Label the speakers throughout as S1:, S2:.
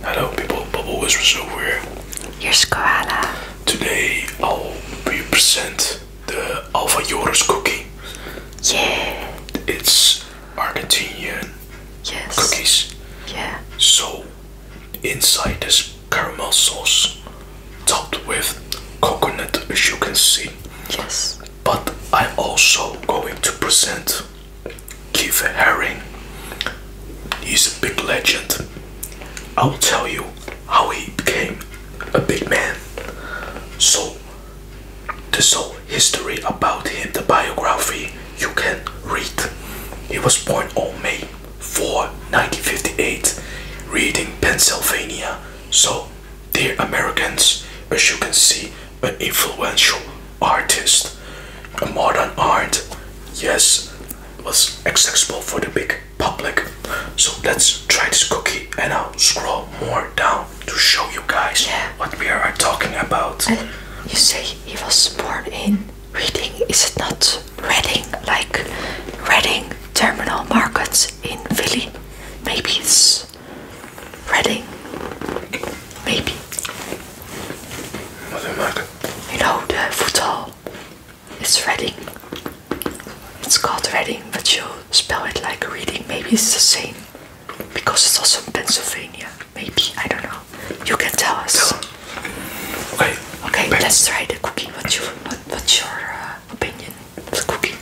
S1: Hello people, Bubble Whispers over here. Here's Koala. Today I'll present the Alfa cookie. So It's Argentinian cookies. Yeah. So inside this caramel sauce topped with coconut as you can see. Yes but I'm also going to present Keith Haring. He's a big legend. I'll tell you how he became a big man. So, the whole history about him, the biography, you can read. He was born on May 4, 1958, reading Pennsylvania. So, dear Americans, as you can see, an influential artist. A modern art, yes, was accessible for the big public. So let's try
S2: this cookie and I'll scroll more down to show you guys what we are talking about. you say he was born in Reading, is it not? Reading, like Reading Terminal Markets in Philly. Maybe it's towards Reading. Maybe. What do you like? You know the futsal. It's Reading. It's called Reading, but you spell it like reading. Maybe it's the same. Because it's also in Pennsylvania. Maybe. I don't know. You can tell us. Okay. Okay, let's try the cookie. What's your, uh, opinion the cookie?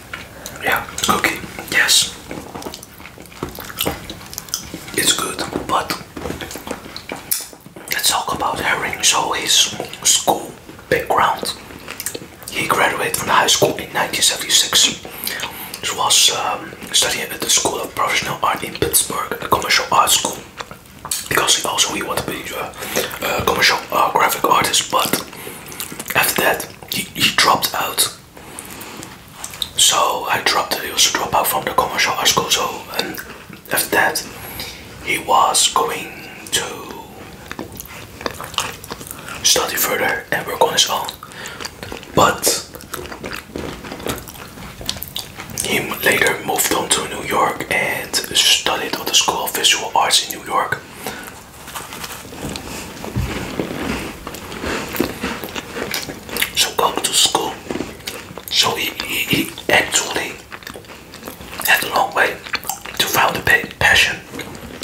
S2: Yeah, cookie. Yes.
S1: It's good, but let's talk about Herring. So his school background. He graduated from high school in 1976. He was um, studying at the School of Professional Art in Pittsburgh, a commercial art school. Because also he wanted to be uh, a, commercial uh, graphic artist, but after that he dropped out so I dropped. He was a dropout from the commercial art school. So and after that, he was going to study further and work on his own. But he later moved on to New York and studied at the School of Visual Arts in New York. So go to school. So he, he, actually had a long way to find a passion.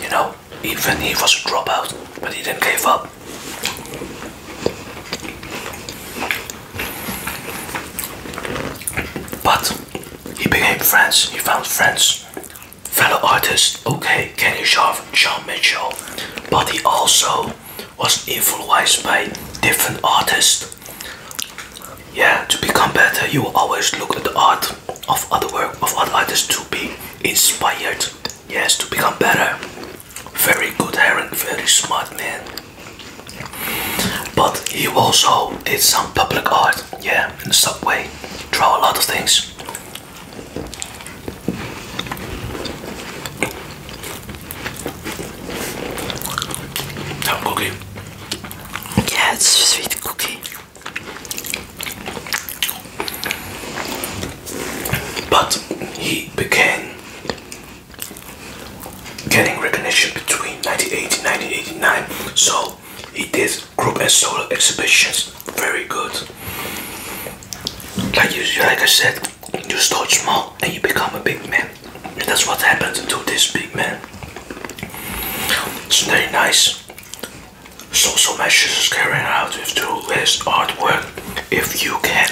S1: You know, even he was a dropout, but he didn't give up. But he became friends, he found friends fellow artist, okay, Kanishov, John Mitchell, but he also was influenced by different artists. Yeah, to become better, you always look at the art of other work of other artists to be inspired. Yes, to become better. Very good, Aaron. Very smart man. But he also did some public art. Yeah, in the subway. Draw a lot of things. Some cookie.
S2: Yeah, sweet cookie. But he began getting recognition between 1980 and 1989. So he did group and solo exhibitions very good. Like you, like I said, you start small and you become a big man. that's what happened to this big man. It's very nice. So, so messages is carried out through his artwork. If you can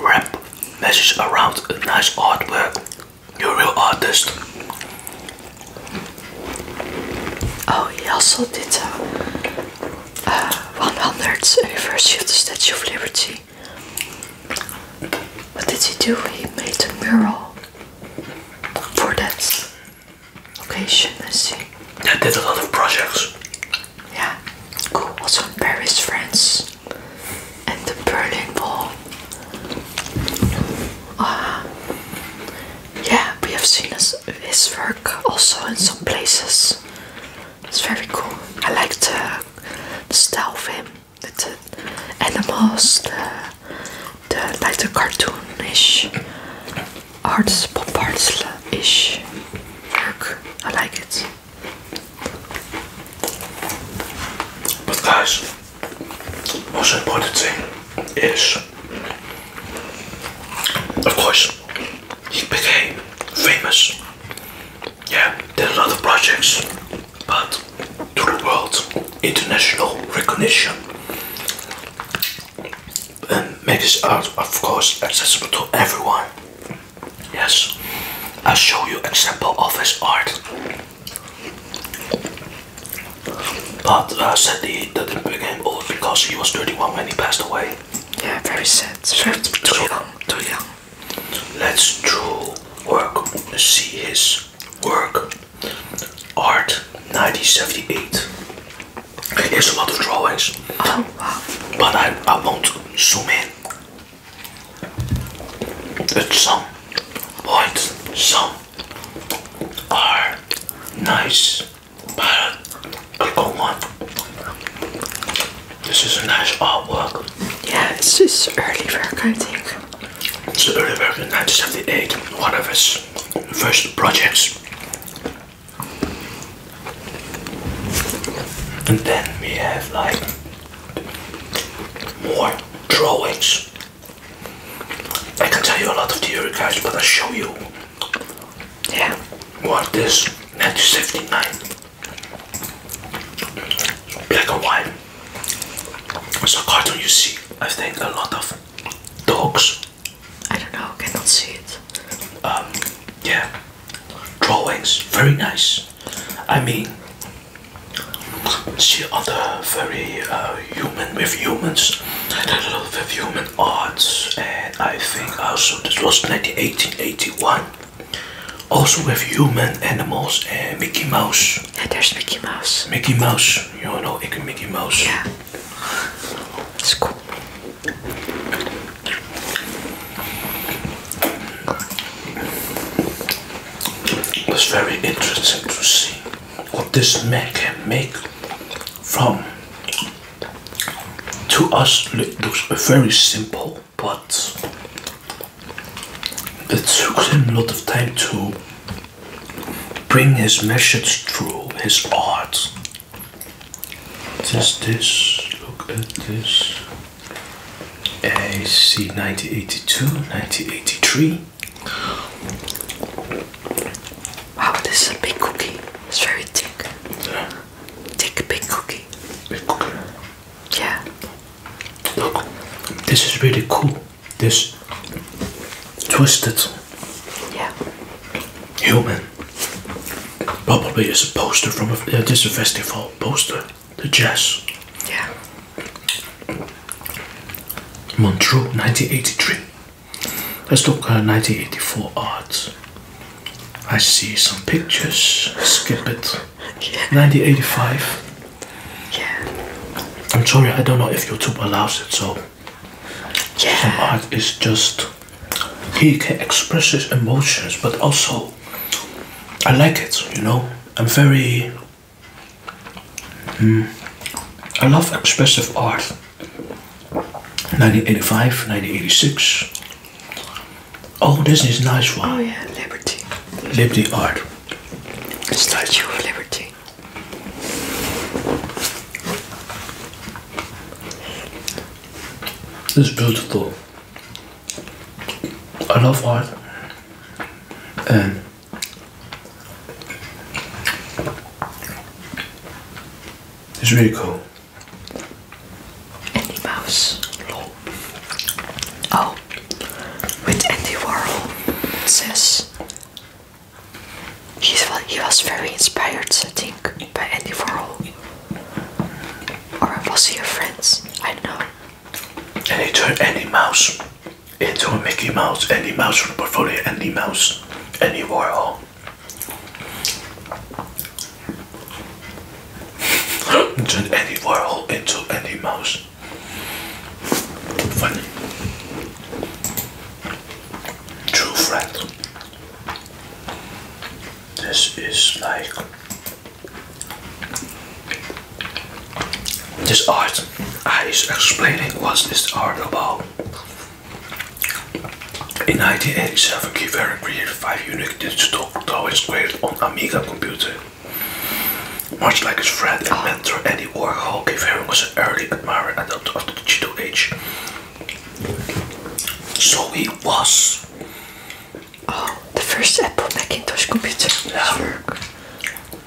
S2: wrap messages around a nice artwork, you're a real artist. Oh, he also did so. Uh, uh, eh, 100th anniversary of the Statue of Liberty. What did he do? He made a mural for that occasion, I see. I did a lot of projects. Yeah, cool. Also in Paris, France, and the Berlin Wall. Uh, yeah, we have seen his, work also in some places. It's very cool. I like the, the style of him, the, the animals, the, like the cartoonish arts, pop arts-ish work. I like it.
S1: But guys, most important thing is of course, he became famous. Yeah, did a lot of projects, but to the world, international recognition. And make his art, of course, accessible to everyone. Yes, I'll show you example of his art. But uh, sadly, he didn't became old because he was 31 when he passed away. Yeah, very sad. too young. Too young. Let's through work see his work. Art 1978. Here's a lot of drawings. Oh wow. But I, I won't zoom in. At some point some are nice but a good This is a nice artwork. Yeah,
S2: it's this early work, I think. It's the early work in
S1: 1978, one of his first projects. And then we have like more drawings. I can tell you a lot of theory guys, but I'll show you yeah. What this 1979 black and white. It's a cartoon you see. I think a lot of dogs. I don't know. Cannot see it. Um. Yeah. Drawings. Very nice. I mean, see other very uh, human with humans I was with human arts and I think also this was 1881 also with human animals and Mickey Mouse there's Mickey Mouse Mickey Mouse you know can Mickey Mouse yeah it's cool It's very interesting to see what this man can make from to us it looks very simple, but it took him a lot of time to bring his message through his art. Just this, look at this. AC, see 1982, 1983. Wow, this is a big cookie. It's very thick. Yeah. Thick, big cookie. Big cookie. Yeah. Look, this is really cool. This twisted yeah. human. Probably is a poster from a, uh, this festival poster. The jazz. Yeah. Montreux, 1983. Let's look at 1984 art. I see some pictures. Skip it. 1985. Yeah. I'm sorry, I don't know if YouTube allows it, so. Yeah. Some art is just. He can express his emotions, but also. I like it, you know? I'm very. Hmm, I love expressive art. 1985, 1986. Oh, this is a nice one. Oh
S2: yeah, Liberty.
S1: Liberty Art. Statue of Liberty. It's beautiful. I love art. And it's really cool. Andy Mouse. Oh, with Andy Warhol. It
S2: says He's, he was very inspired, I think, by Andy Warhol. Or was he a friend? I don't know.
S1: And he turned Andy Mouse into a Mickey Mouse, Andy Mouse from the portfolio, Andy Mouse, Andy Warhol. Turn any Warhol into any Mouse. Funny. True friend. This is like this art. I is explaining what this art about. In 1987, Kivarian created five unique digital toys created on Amiga computer. Much like his friend and mentor Andy Warhol, Kivarian was an early admirer and adopter of the digital age. So he was. Oh, the first Apple Macintosh computer.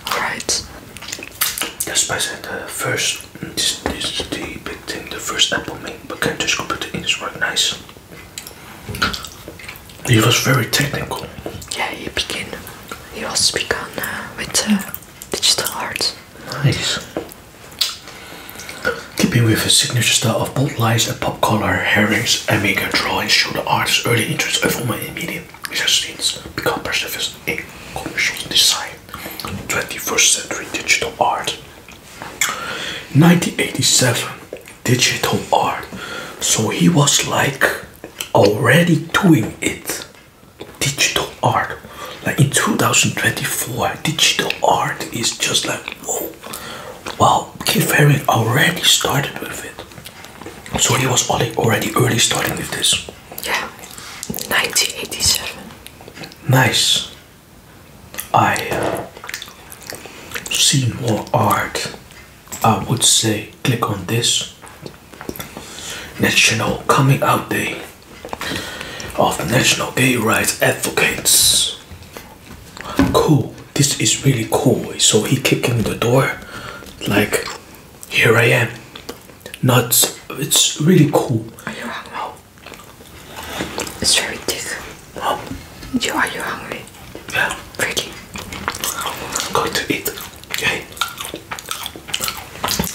S1: Right. That's by the first this, is the big thing, the first Apple made, but can just put the in, it's right nice. He was very technical. Yeah, he began. He was begun uh, with uh, digital art. Nice. Keeping with his signature style of bold lines and pop color, herrings and mega drawings show the artist's early interest of women in media, which has since become perceived as a commercial design. 21st Century Digital Art. 1987 digital art so he was like already doing it digital art like in 2024 digital art is just like whoa wow Keith Haring already started with it so he was already early starting with this yeah, 1987. Nice. I uh, see more art. I would say click on this National Coming Out Day of National Gay Rights Advocates. Cool. This is really cool. So he kicking the door like here I am. Not it's really cool. It's very thick.
S2: Oh. You, are you hungry?
S1: Yeah. Really? I'm going to eat. Okay.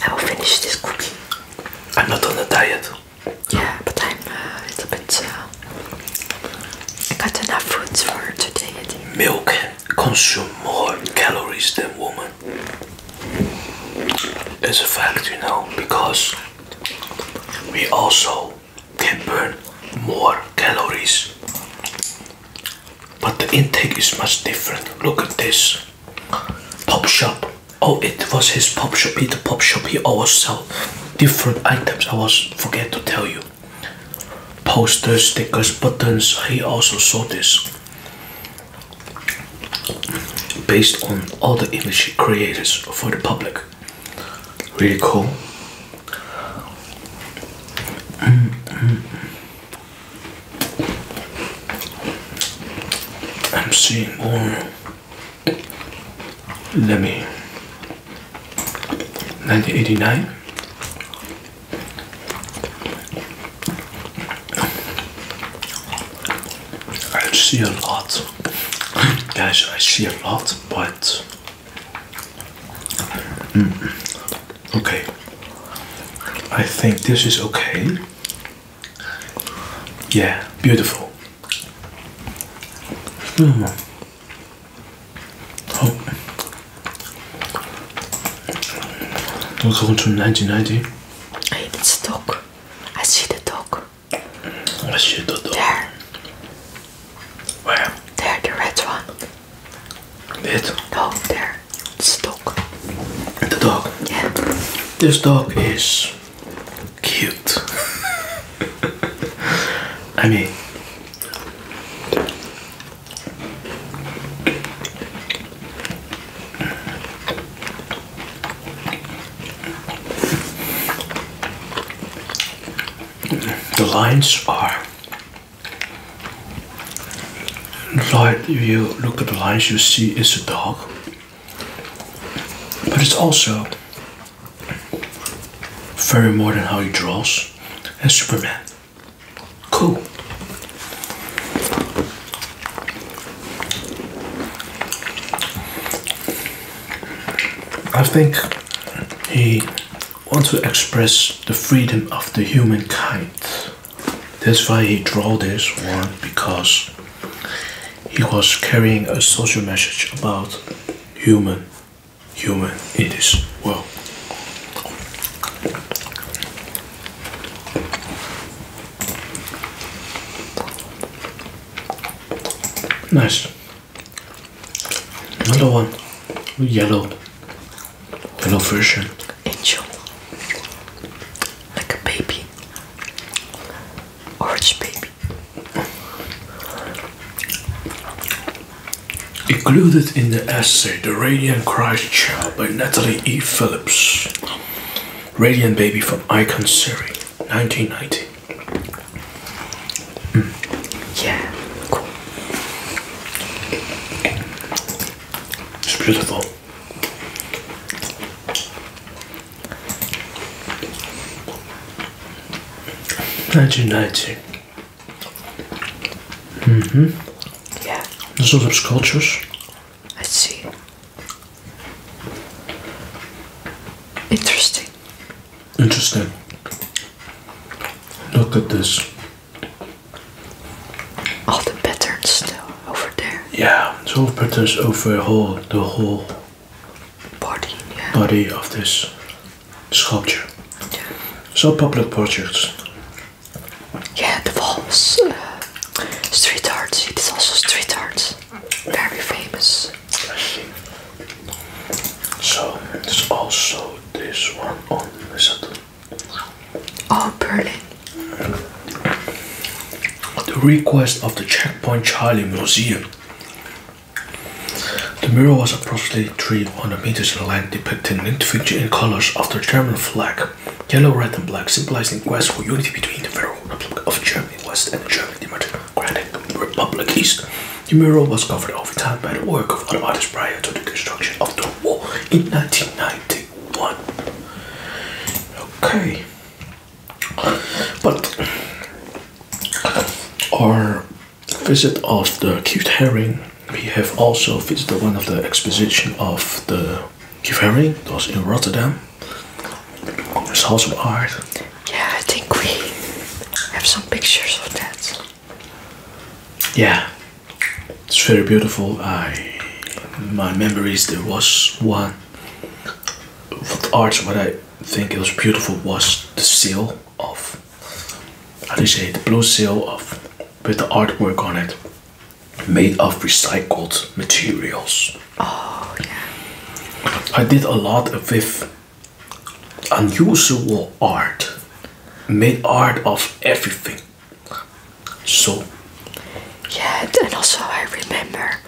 S1: I will finish this cookie. I'm not on a diet. Yeah, but
S2: I'm uh, a little bit. Uh,
S1: I got enough fruits for today. I Milk consume more calories than women moment a fact, you know, because we also can burn more calories. But the intake is much different. Look at this pop shop. Oh, it was his pop shop. the pop shop. He always sell different items. I was forget to tell you. Posters, stickers, buttons. He also saw this based on all the image creators for the public. Really cool. Mm, mm, mm. I'm seeing more. Let me. 1989. I see a lot, guys. I see a lot, but hmm, okay. I think this is okay. Yeah, beautiful. Mm. Oh, we're go to 1990. I need stock. I see the dog. I see the dog. There.
S2: Where? There, the red one. It? No,
S1: there. It's the dog. The dog? Yeah. This dog is cute. I mean, the lines are If you look at the lines you see it's a dog but it's also very more than how he draws and Superman cool I think he wants to express the freedom of the humankind. That's why he drew this one because he was carrying a social message about human, human it is well. Nice. Another one. Yellow. Yellow version. Angel. Like a baby. Orange baby. Included in the essay The Radiant Christ Child by Natalie E. Phillips. Radiant Baby from Icon Surrey, 1990. Hmm. Yeah, cool. It's beautiful. Nineteen ninety. Mm-hmm. Yeah. There's a lot sculptures. I see. Interesting. Interesting. Look at this. All the patterns still over there. Yeah, it's patterns over whole, the whole body, yeah. body of this sculpture. Yeah. So popular portraits.
S2: Yeah, the walls. Uh, Street art, it is also street art. Very famous.
S1: So there's also this one on the Saturn. Oh, Berlin. The request of the Checkpoint Charlie Museum. The mural was approximately 300 meters in length, depicting the individual in colors of the German flag. Yellow, red, and black the quest for unity between the Federal Republic of Germany West and the German Democratic Republic East. The mural was covered over time by the work of other artists prior to the construction of the wall in 1991. Okay. But our visit of the cute herring, we have also visited one of the exposition of the Givery that was in Rotterdam. There's house of art. Yeah, I think we have some pictures of that. Yeah, it's very beautiful. I my memories there was one the art. What I think it was beautiful was the seal of how do you say the blue seal of with the artwork on it made of recycled materials. Oh, yeah. I did a lot with unusual art, made art of everything. So,
S2: yeah, and also I remember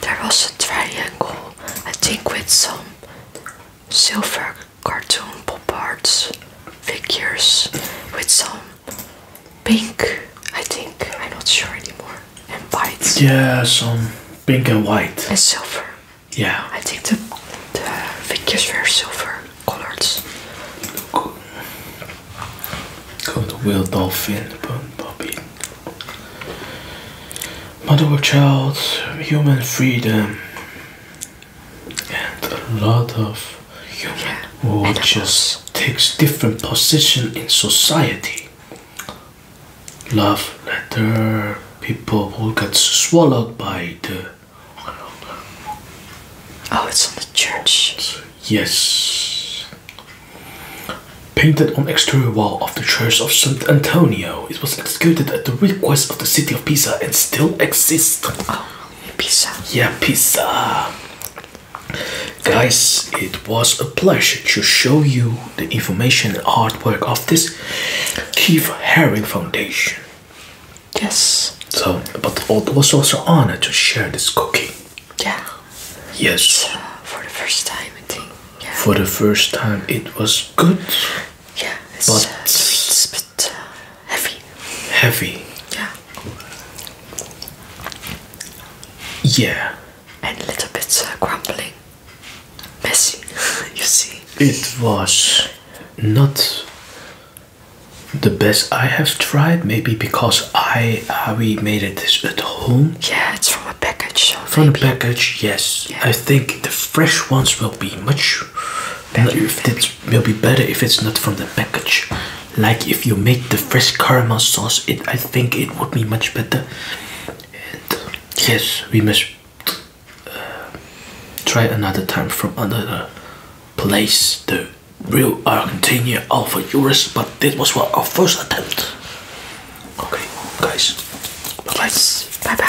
S2: there was a triangle, I think, with some silver cartoon pop art figures with some pink, I think. I'm not sure anymore.
S1: And white. Yeah, some pink and white. And silver. Yeah. I think the, the figures were silver colored. Got the wheel dolphin, puppy. Mother or child, human freedom, and a lot of human or just takes different position in society. Love letter, people who get swallowed by the. Oh, it's on the church. Yes. Painted on exterior wall of the Church of St. Antonio, it was executed at the request of the city of Pisa and still exists. Oh, Pisa. Yeah, Pisa. Guys, it was a pleasure to show you the information and artwork of this Keith Haring Foundation. Yes. So, but it was also honor to share this cookie. Yeah. Yes. for the first time, I think. For the first time, it was good. Yeah, but, uh, sweet, uh, heavy. Heavy. Yeah.
S2: Yeah. And a little bit uh, crumbling.
S1: Messy, you see. It was not the best I have tried, maybe because I uh, we made it this at home. Yeah, it's from a package. from a package, yes. I think the fresh ones will be much better. If it will be better if it's not from the package like if you make the fresh caramel sauce it i think it would be much better and yes we must uh, try another time from another place the real argentina alpha Euros, but this was our first attempt okay guys bye bye